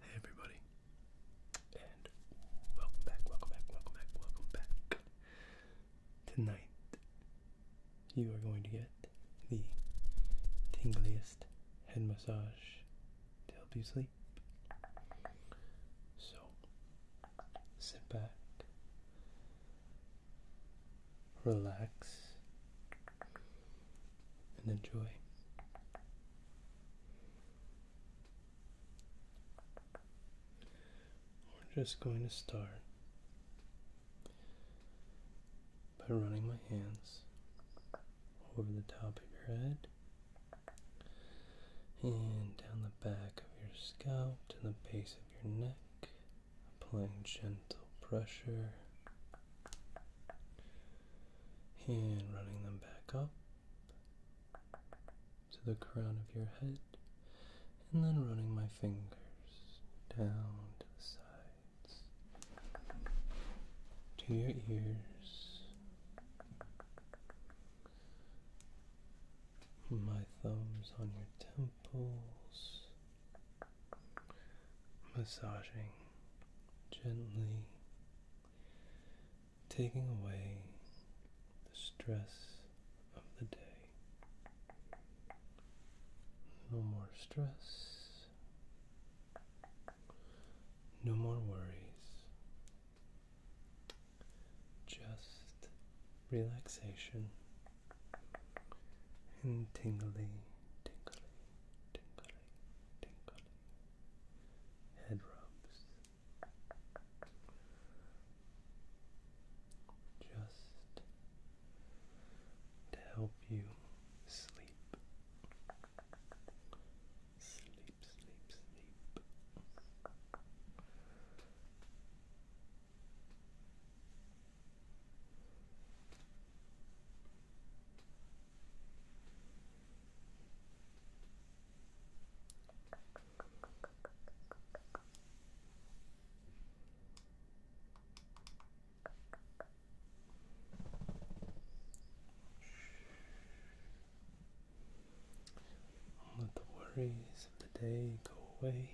Hey everybody, and welcome back, welcome back, welcome back, welcome back. Tonight, you are going to get the tingliest head massage to help you sleep. So, sit back, relax, and enjoy. We're just going to start by running my hands over the top of your head and down the back of your scalp to the base of your neck, applying gentle pressure and running them back up to the crown of your head, and then running my fingers down to the sides, to your ears, my thumbs on your temples massaging gently, taking away the stress of the day. No more stress, no more worries, just relaxation and tingly, tingly, tingly, tingling, head rubs. Just to help you sleep. Sleep, sleep, sleep. Let the worries of the day go away.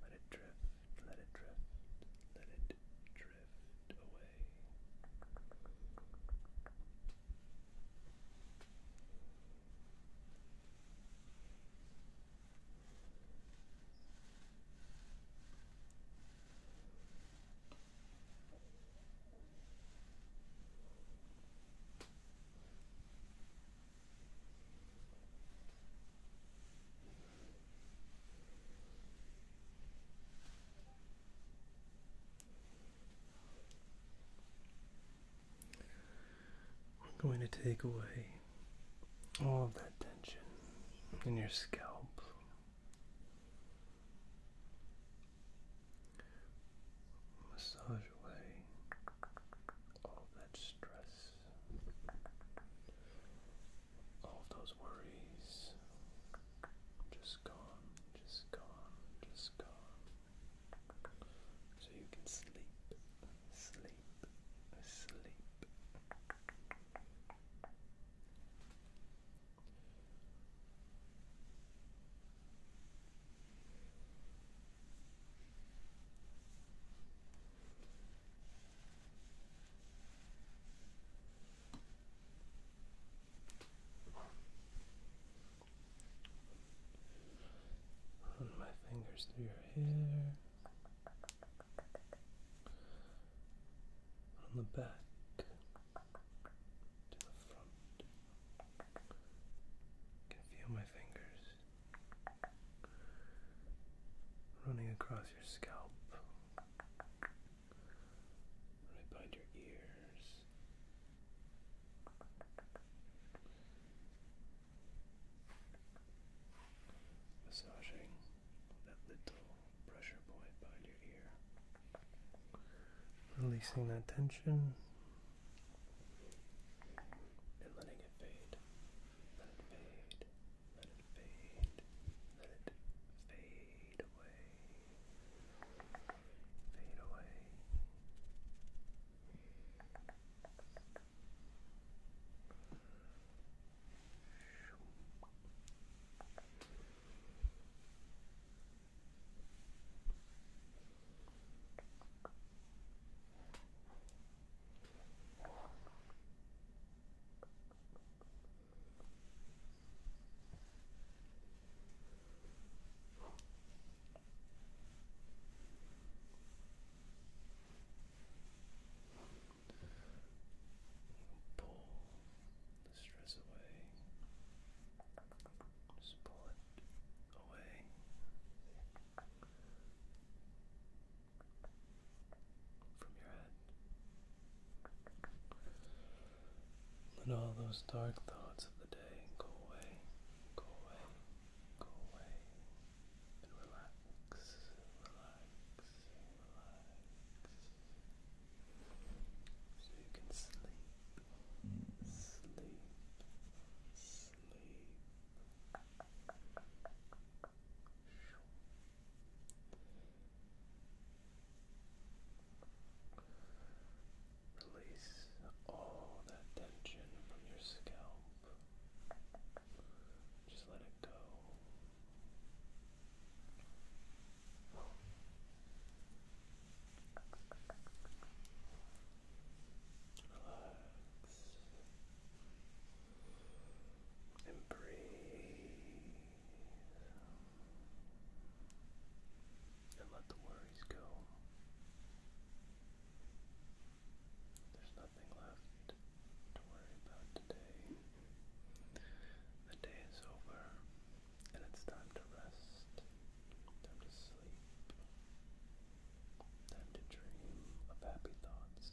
Let it drift, let it drift, let it drift away. I'm going to take away all of that tension in your scalp. Massaging all that stress, all those worries. Just gone, just gone, just gone. So you can sleep, sleep, sleep. Run my fingers through your hair, on the back to the front. can feel my fingers running across your scalp, right behind your ears. Massaging that little pressure point behind your ear, releasing that tension and letting it fade. Let it fade. Let it fade. Let it fade away. Fade away. Pull the stress away. Just pull it away. From your head. Let all those dark thoughts of the day go away, go away, go away, and relax, relax, relax. So you can sleep sleep, sleep. Release all that tension from your scalp. Just let it go. Relax and breathe and let the worries go. There's nothing left to worry about today. The day is over and it's time to rest, time to sleep, time to dream of happy thoughts.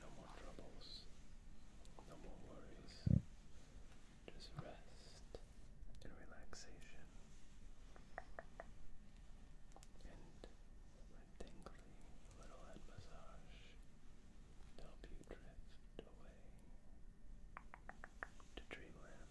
No more troubles, no more worries, just rest and relaxation and my tingly little head massage to help you drift away to dreamland.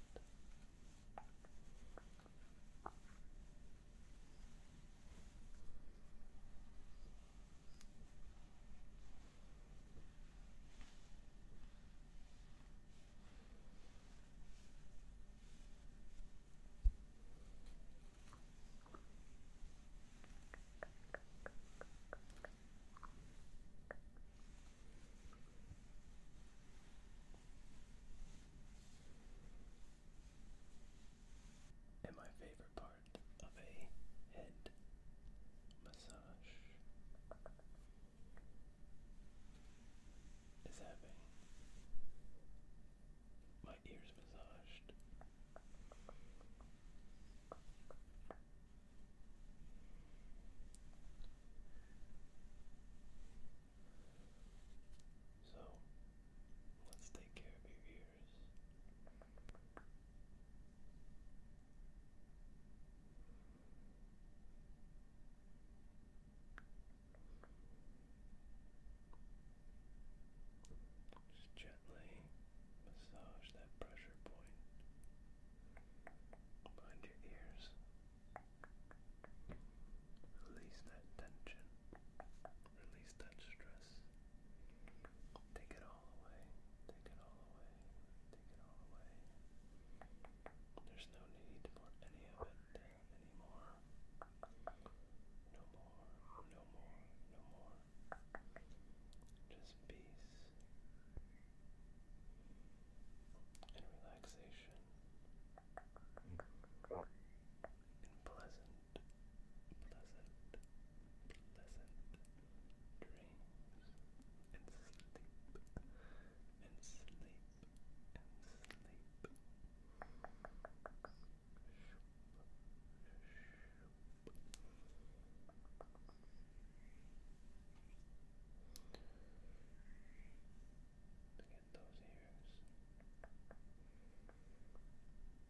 And my favorite part of a head massage is having my ears massaged. So let's take care of your just gently massage that pressure point behind your ears. Release that tension. Release that stress. Take it all away. Take it all away. Take it all away. There's no need for any of it anymore. No more. No more. No more. Just peace and relaxation and pleasant pleasant, pleasant dreams, and sleep, and sleep, and sleep. To get Get those ears.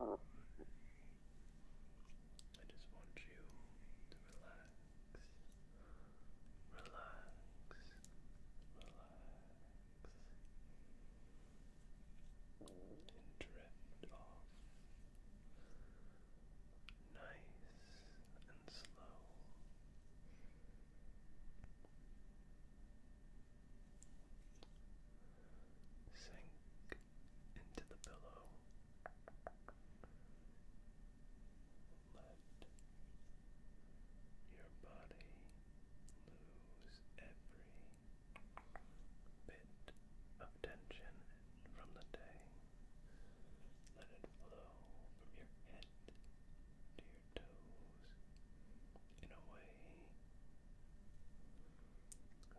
I just want you to relax, relax, relax, and drift off nice and slow. Sink into the pillow. Let your body lose every bit of tension from the day. Let it flow from your head to your toes in a way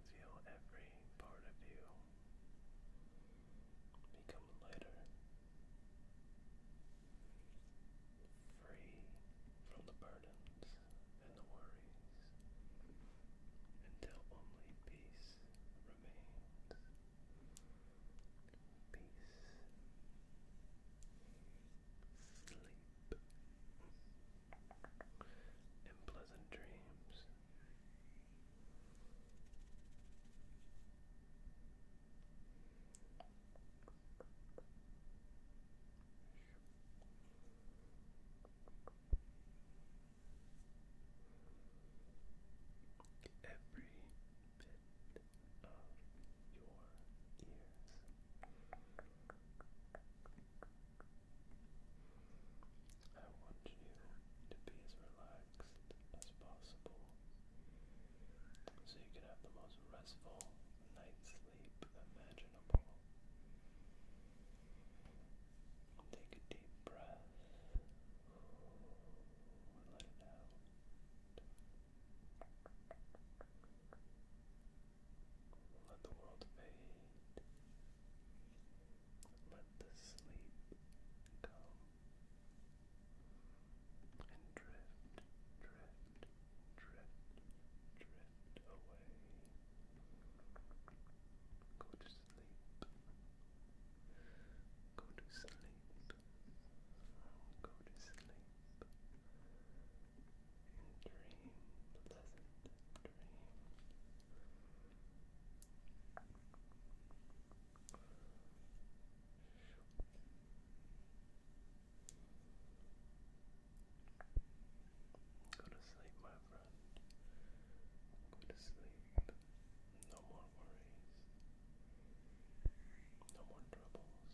Feel every part of you become lighter, free from the burdens and the worries until only peace remains. Peace sleep, and pleasant dreams. Every bit of your ears. I want you to be as relaxed as possible so you can have the most restful night's sleep imaginable. Take a deep breath and let it out. Let the world fade. Let the sleep come. And drift, drift, drift, drift away. Go to sleep. Go to sleep. Go to sleep and dream Go to sleep, my friend. Go to sleep. No more worries. No more troubles.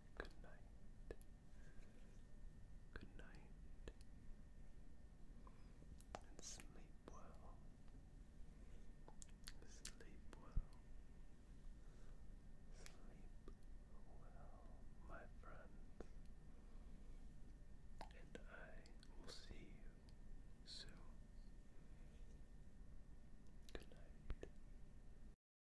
Good night. Good night. And sleep well. Sleep well. Sleep well, my friends. And I will see you soon. Good night.